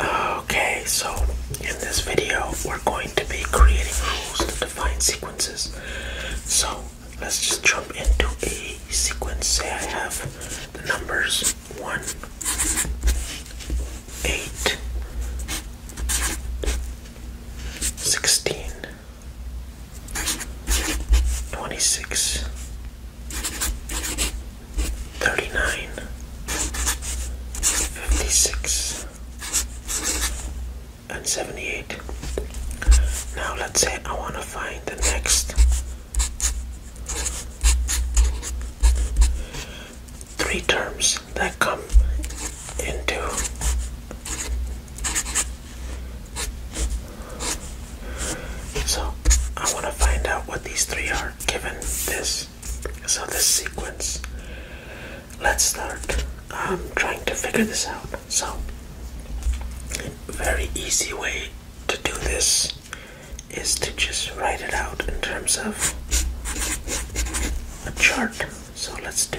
Okay, so in this video, we're going to be creating rules to define sequences. So let's just jump into a sequence. Say I have the numbers 1, 8, 16, 26, 39 56 and 78 now let's say I want to find the next three terms that come into so I want to find out what these three are given this so this sequence, let's start um, trying to figure this out. So, very easy way to do this is to just write it out in terms of a chart. So let's do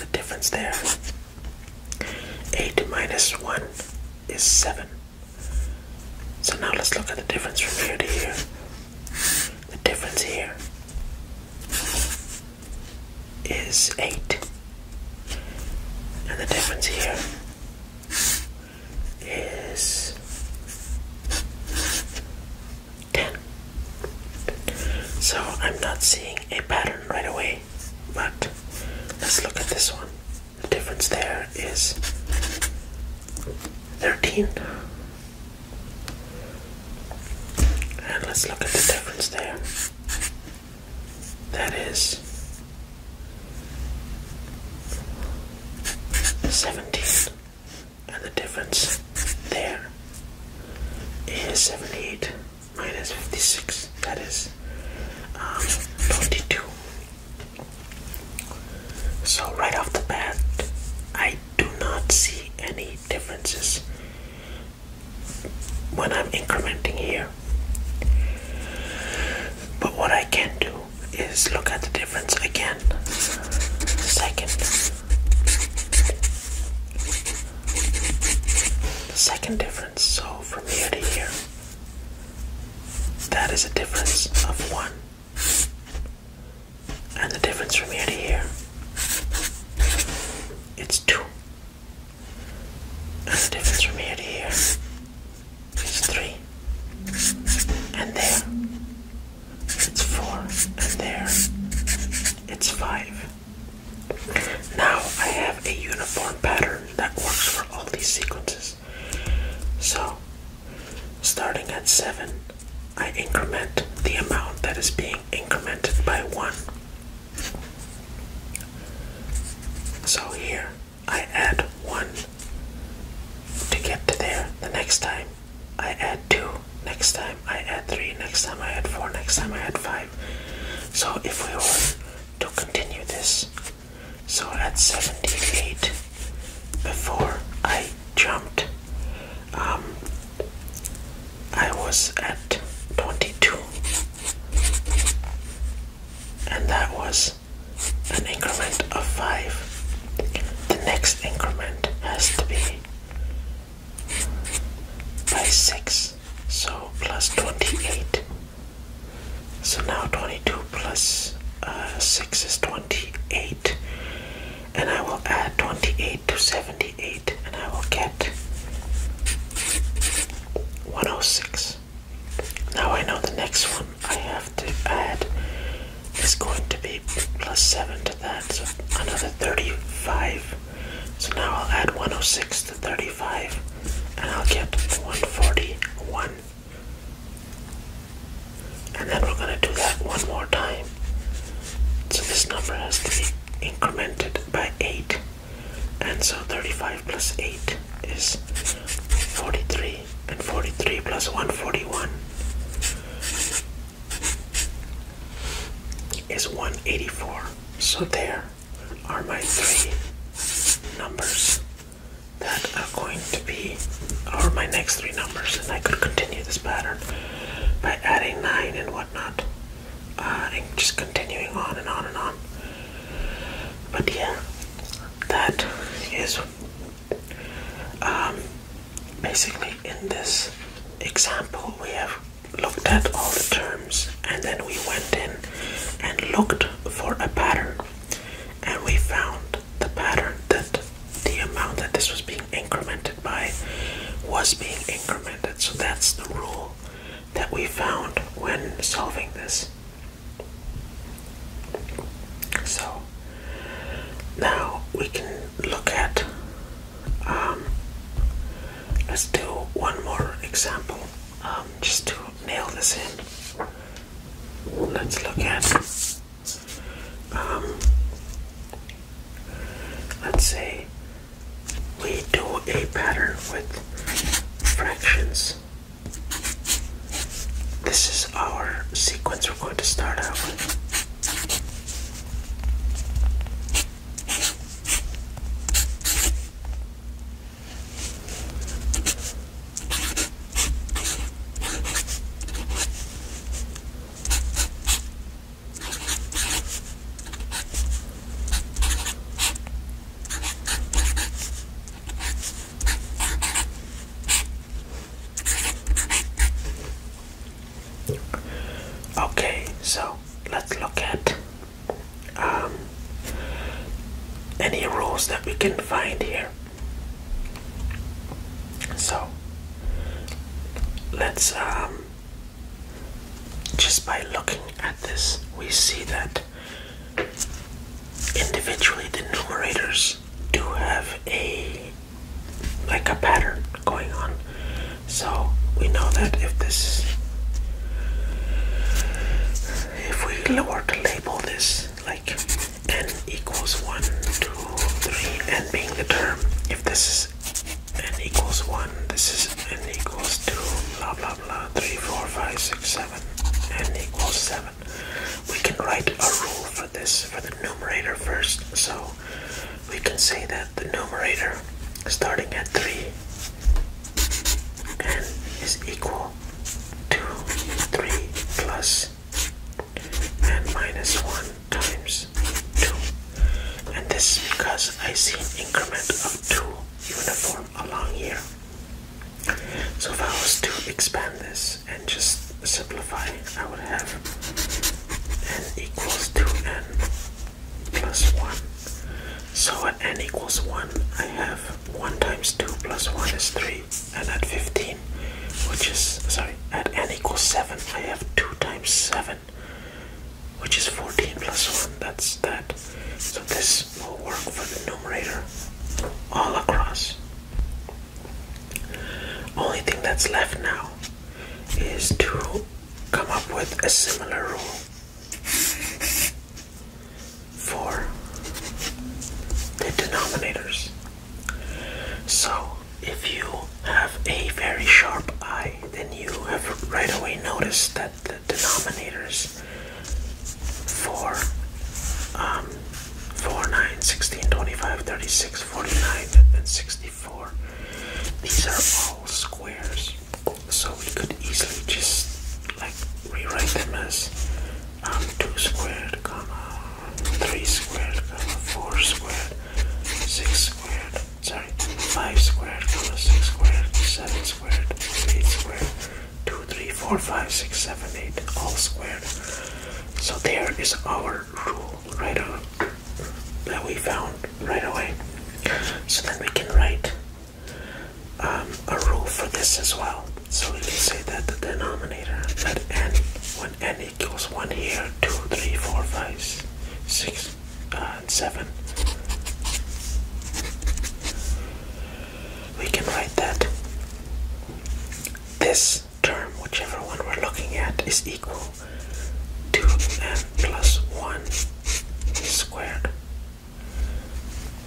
The difference there. 8 minus 1 is 7. So now let's look at the difference from here to here. The difference here is 8. And the difference here is so I'm not seeing a pattern right away, but let's look at this one. The difference there is 13. And let's look at the difference there. That is 17. And the difference there is 78 minus 56, that is um, So, right off the bat, I do not see any differences when I'm incrementing here. But what I can do is look at the difference again. Second. The second difference, so from here to here, that is a difference of one. And the difference from here to here, it's two. And the difference from here to here is three. And there, it's four. And there, it's five. Now I have a uniform pattern that works for all these sequences. So, starting at 7, I increment the amount that is being incremented by 1. So here, I add 1 to get to there. The next time, I add 2 next time I add 3, next time I add 4, next time I add 5. So if we want to continue this, so at 78, before I jumped, um, I was at 22, and that was an increment of 5. The next increment has to be by 6 so plus 28 so now 22 uh, 6 is 28 and I will add 28 to 78 and I will get 106 now I know the next one I have to add is going to be plus 7 to that so another 35 so now I'll add 106 to 35 and I'll get 141. And then we're going to do that one more time. So this number has to be incremented by 8. And so 35 plus 8 is 43. And 43 plus 141 is 184. So there are my three numbers that are going to be or my next three numbers and I could continue this pattern by adding nine and whatnot uh, and just continuing on and on and on but yeah that is um, basically in this example we have looked at all the terms and then we went in and looked for a pattern and we found the pattern that the amount that this was being incremented by was being incremented so that's the rule that we found when solving this so now we can look at um, let's do one more example um, just to nail this in. Let's look at, um, let's say we do a pattern with fractions. This is our sequence we're going to start out with. Okay, so let's look at um, any rules that we can find here. So let's um, just by looking at this, we see that individually the numerators do have a like a pattern going on so we know that if this if we were to label this like n equals 1, 2, 3, n being the term, if this is n equals 1, this is n equals 2, blah blah blah, 3, 4, 5, 6, 7, n equals 7. We can write a rule for this, for the numerator first. So we can say that the numerator starting at 3 and is equal to 3 plus plus n minus minus 1 times 2 and this is because I see an increment of 2 uniform along here so if I was to expand this and just simplify I would have n equals 2n plus 1. So at n equals 1, I have 1 times 2 plus 1 is 3. And at 15, which is, sorry, at n equals 7, I have 2 times 7, which is 14 plus 1. That's that. So this will work for the numerator all across. Only thing that's left now is to come up with a similar rule for the denominators. So, if you have a very sharp eye, then you have right away noticed that the denominators for um, 4, 9, 16, 25, 36, 49, and 64, these are all squares. So we could easily just like rewrite them as um, 2 squared, comma 3 squared, comma 4 squared, 6 squared, sorry, 5 squared, comma 6 squared, 7 squared, 8 squared, 2, 3, 4, 5, 6, 7, 8, all squared. So there is our rule right on that we found right away so then we can write um, a rule for this as well. So we can say that the denominator that n, when n equals 1 here, 2, 3, 4, 5, 6, uh, 7, we can write that this term, whichever one we're looking at, is equal to n plus 1 squared.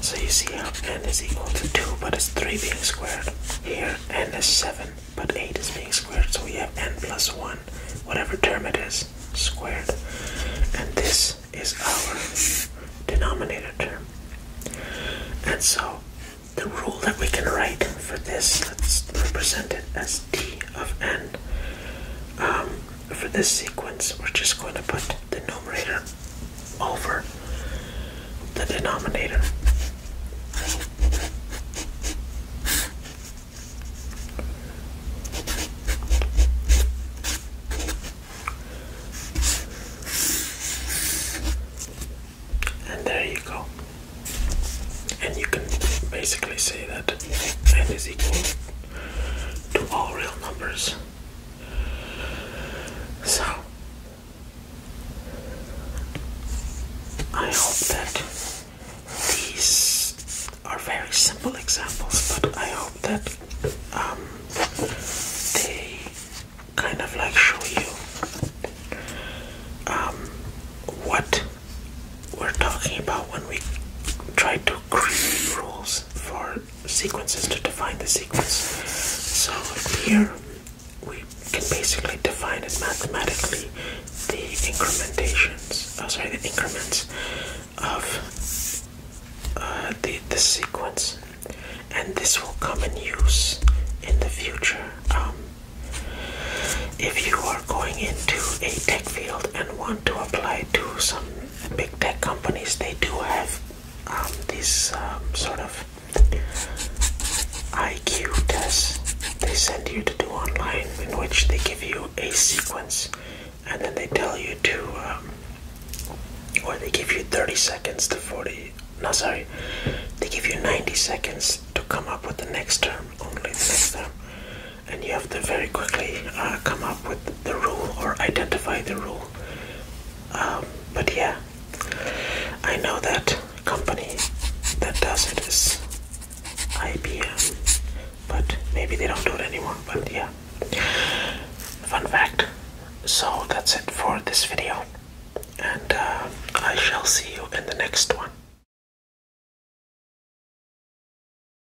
So you see how n is equal to 2, but it's 3 being squared. Here, n is 7, but 8 is being squared, so we have n plus 1, whatever term it is, squared. And this is our denominator term. And so, the rule that we can write for this, let's represent it as d of n. Um, for this sequence, we're just going to put the numerator over the denominator. And there you go. And you can basically say that n is equal to all real numbers. So, I hope that these are very simple examples, but I hope that um, they kind of like show you um, what we're talking about when we try to create rules for sequences to define the sequence. So here we can basically define it mathematically the incrementations, oh sorry, the increments of uh, the, the sequence, and this will come in use in the future. Um, if you are going into a tech field and want to apply to some big tech companies they do have um, these um, sort of IQ tests they send you to do online, in which they give you a sequence, and then they tell you to, um, or they give you 30 seconds to 40. No, sorry, they give you 90 seconds to come up with the next term, only the next term and you have to very quickly uh, come up with the rule or identify the rule. Um, but yeah, I know that company that does it is IBM, but maybe they don't do it anymore. But yeah, fun fact. So that's it for this video, and uh, I shall see you in the next one.